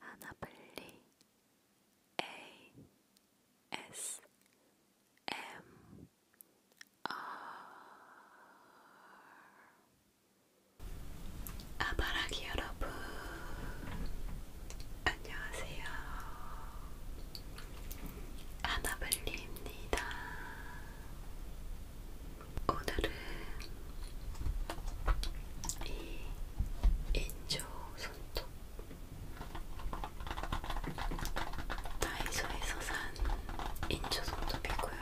하나블리 ASMR 아바라기 여러분 안녕하세요 하나블리입니다 오늘은 이 인조 손톱 다이소에서 산 인조 손톱이고요.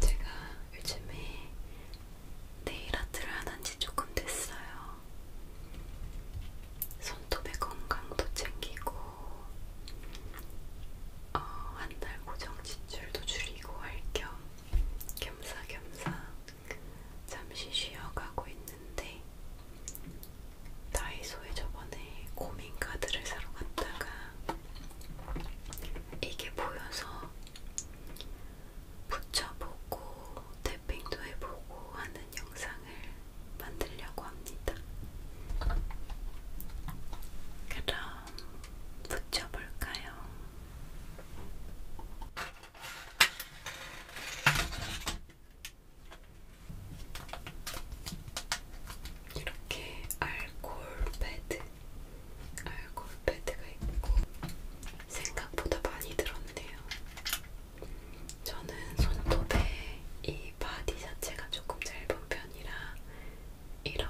제가 요즘에 네일 아트를 안한지 조금 됐어요. 손톱의 건강도 챙기고 어, 한달 고정 지출도 줄이고 할 겸 겸사겸사 잠시 쉬어가고 있는데 다이소에 저번에 고민 카드를 사러 갔다가 이게 보여서 붙여보고 태핑도 해보고 하는 영상 영상을 만들려고 합니다. 그럼 붙여볼까요? 이렇게 알콜 패드, 알콜 패드가 있고 생각보다 많이 들었네요. 저는 손톱에 이 바디 자체가 조금 짧은 편이라 이런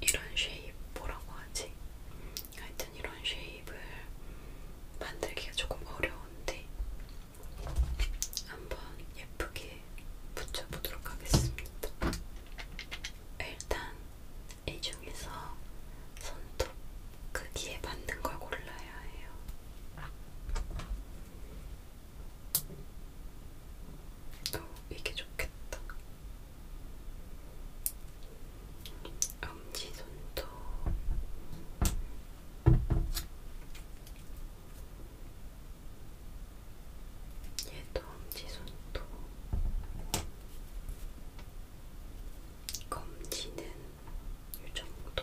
이런 쉐입 뭐라고 하지? 하여튼 이런 쉐입을 만들기가 조금 어려운데 한번 예쁘게 붙여보도록 하겠습니다. 일단 이 중에서 손톱 크기에 맞는 걸 골라야 해요. 어, 이게 좋겠다. 엄지손톱. 얘도 엄지손톱. 검지는 이 정도.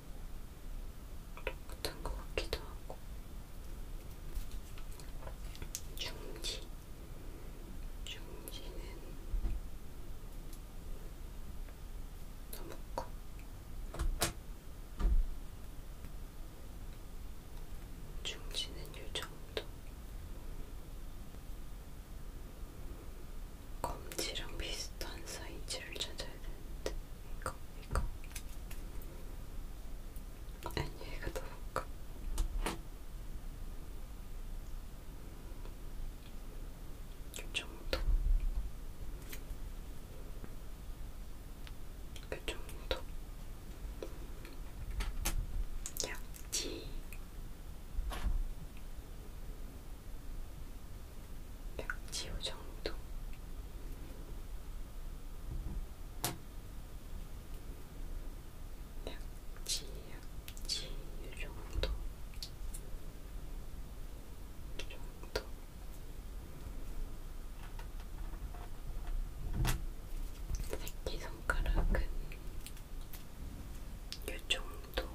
같은 것 같기도 하고 중지 중지는 너무 커 중지는 이 정도 검지랑 비슷한 사이즈를 찾아야 되는데 이거 이거 아니 이거 너무 커 요정도 요정도 약지 벽지호 정도. 약지, 약지, 이 정도. 이 정도. 새끼손가락은 이 정도.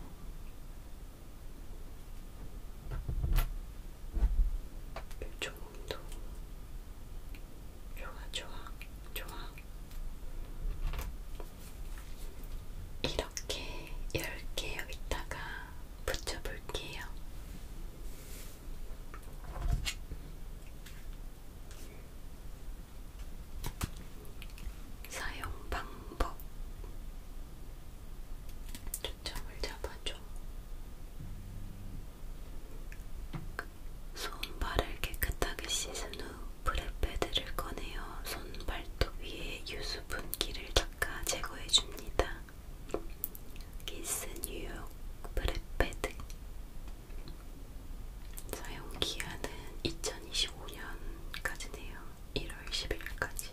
이 정도. 조금도 좋아 좋아 좋아 이렇게 10개 여기다가 붙여볼게요. 사용 방법 초점을 잡아줘. 손발을 깨끗하게 씻은 후 브레패드를 꺼내어 손발톱 위에 유수분기를 닦아 제거해줍니다. 키스 뉴욕 브레패드 사용기한은 2025년까지네요. 1월 10일까지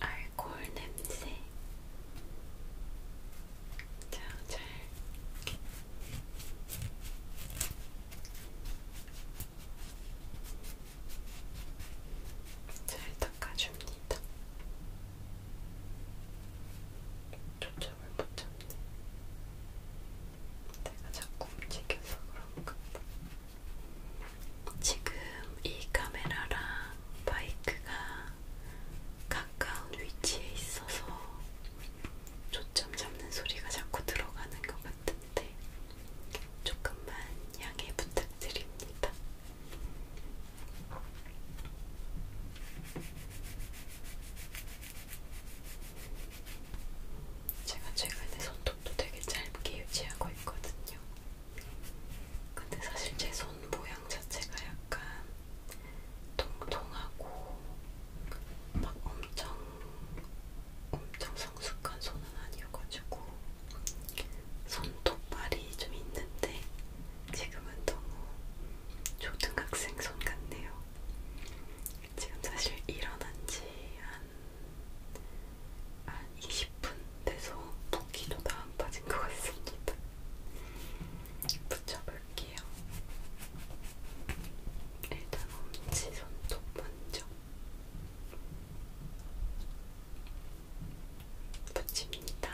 알코올 냄새. 자, 잘. 잘 닦아줍니다. 초점을 못 잡네. 내가 자꾸 움직여서 그런가 봐. 지금 이 카메라랑 바이크가 가까운 위치에 있어서 초점 잡는 소리가 자꾸 들어가는 것 같은데 조금만 양해 부탁드립니다. 제가 최근에 손톱도 되게 짧게 유지하고 있거든요. 근데 사실 제 손 모양 자체가 약간 통통하고 막 엄청 엄청 성숙한 손은 아니어가지고 손톱발이 좀 있는데 지금은 너무 초등학생 손 같네요. 지금 사실 일어난 지한 한 20분 돼서 붓기도 다 안 빠진 것 같습니다. 붙여볼게요. 일단 엄지 손톱 먼저 붙입니다.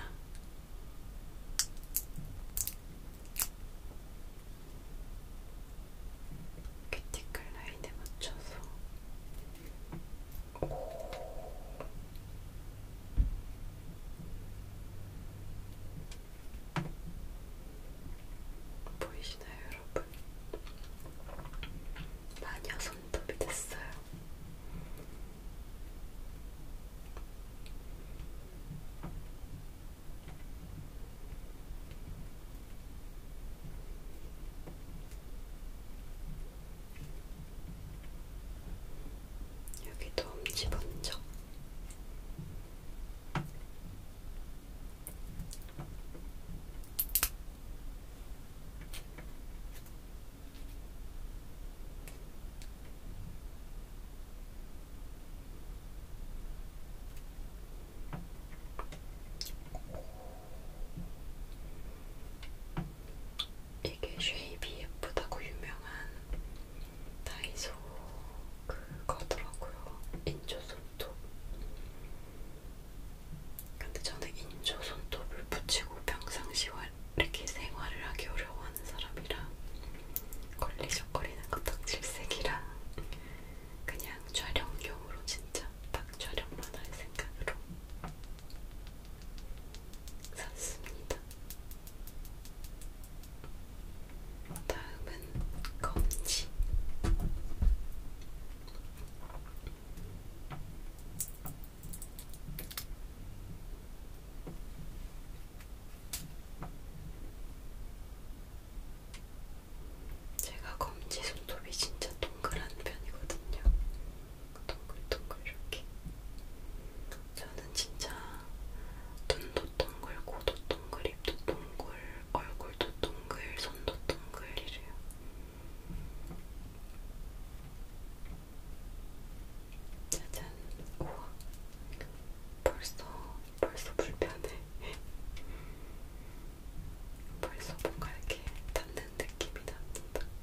큐티클 라인에 맞춰서 보이시나요, 여러분? 마녀 손톱이 됐어요. 여기도 엄지 번쩍. 이게 쉐입이 예쁘다고 유명한 다이소 그거더라고요. 인조 손톱. 근데 저는 인조 손톱을 붙이고 평상시 이렇게 생활을 하기 어려워하는 사람이라 걸리적거리는 것 덕질색이라 그냥 촬영용으로 진짜 딱 촬영만 할 생각으로 샀습니다. 다음은 검지. 제가 검지 손톱이 진짜 동그란 편이거든요. 동글동글 이렇게. 저는 진짜 눈도 동글, 코도 동글, 입도 동글, 얼굴도 동글, 손도 동글 이래요. 짜잔, 우와. 벌써, 벌써 불편해. 벌써 뭔가 이렇게 닿는 느낌이 납니다.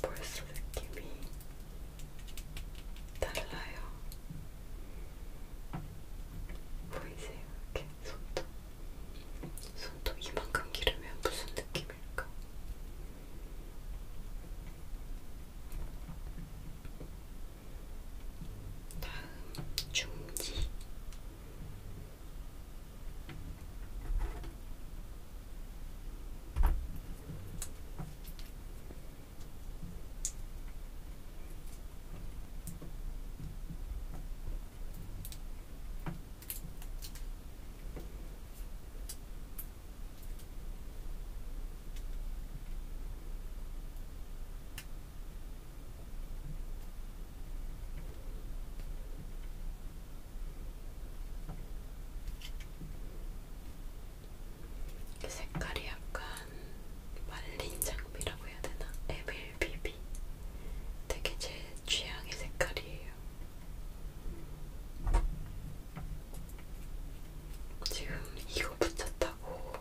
벌써 느낌이 달라요. 보이세요? 뭐 이렇게 손톱. 손톱 이만큼 기르면 무슨 느낌일까? 다음 중지 그 색깔이 약간 말린 장미라고 해야 되나? 에밀비비. 되게 제 취향의 색깔이에요. 지금 이거 붙였다 못하고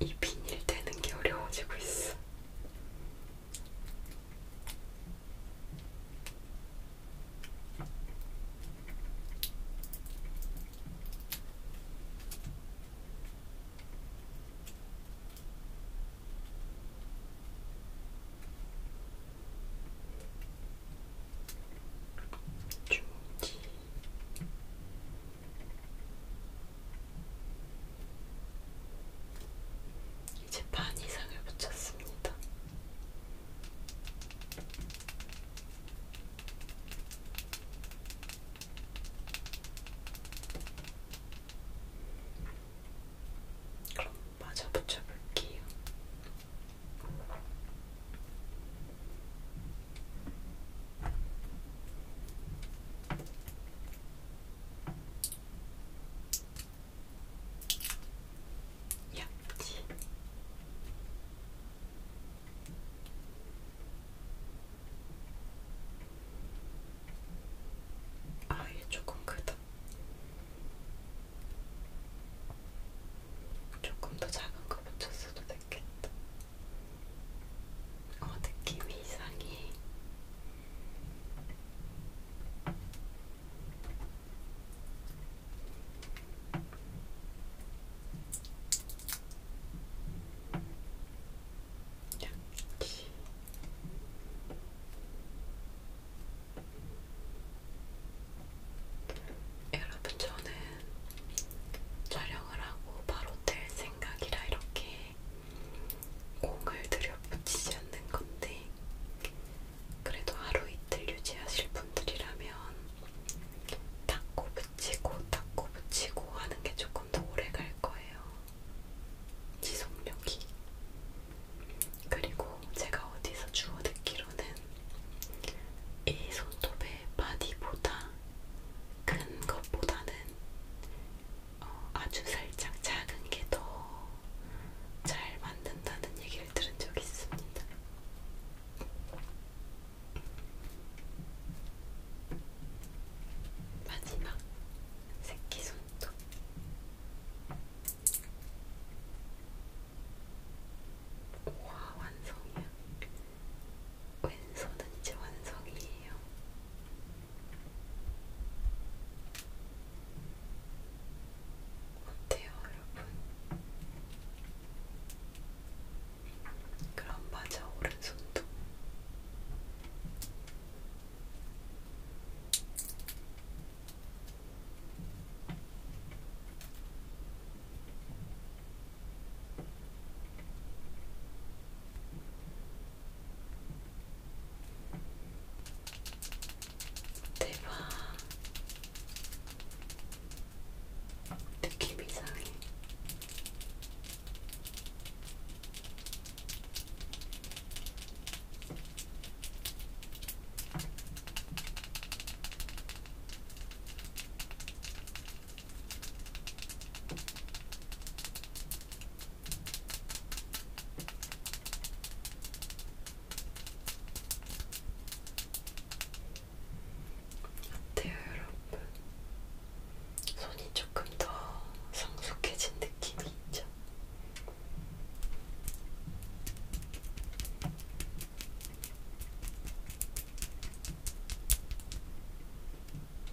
이 비닐 떼는 게 어려워지고 있어. 중지 이제 반 이상을 붙였습니다. 그럼 마저 붙여볼게요. 옆지 아얘 조금 크다 조금 더 작은 거 붙였어도 됐겠다. 어, 느낌이 이상해. 양치. 여러분 저는 촬영을 하고 바로 될 생각 생각이라 이렇게 공을 들여붙이지 않는 건데 그래도 하루 이틀 유지하실 분들이라면 닦고 붙이고 닦고 붙이고 하는 게 조금 더 오래 갈 거예요. 지속력이. 그리고 제가 어디서 주워 듣기로는 이 손톱의 바디보다 큰 것보다는 어, 아주 살짝 작은 게 더 잘 만든다는 얘기를 들은 적이 있습니다. 마지막 새끼 손톱. 와 완성이야. 왼손은 이제 완성이에요. 어때요, 여러분? 그럼 맞아, 오른손도. 대박. 느낌 이상해. 어때요, 네, 여러분? 손이 조금 더 성숙해진 느낌이 있죠?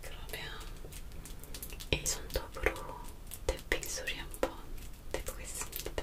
그러면 이 손톱으로 태핑 소리 한번 내보겠습니다.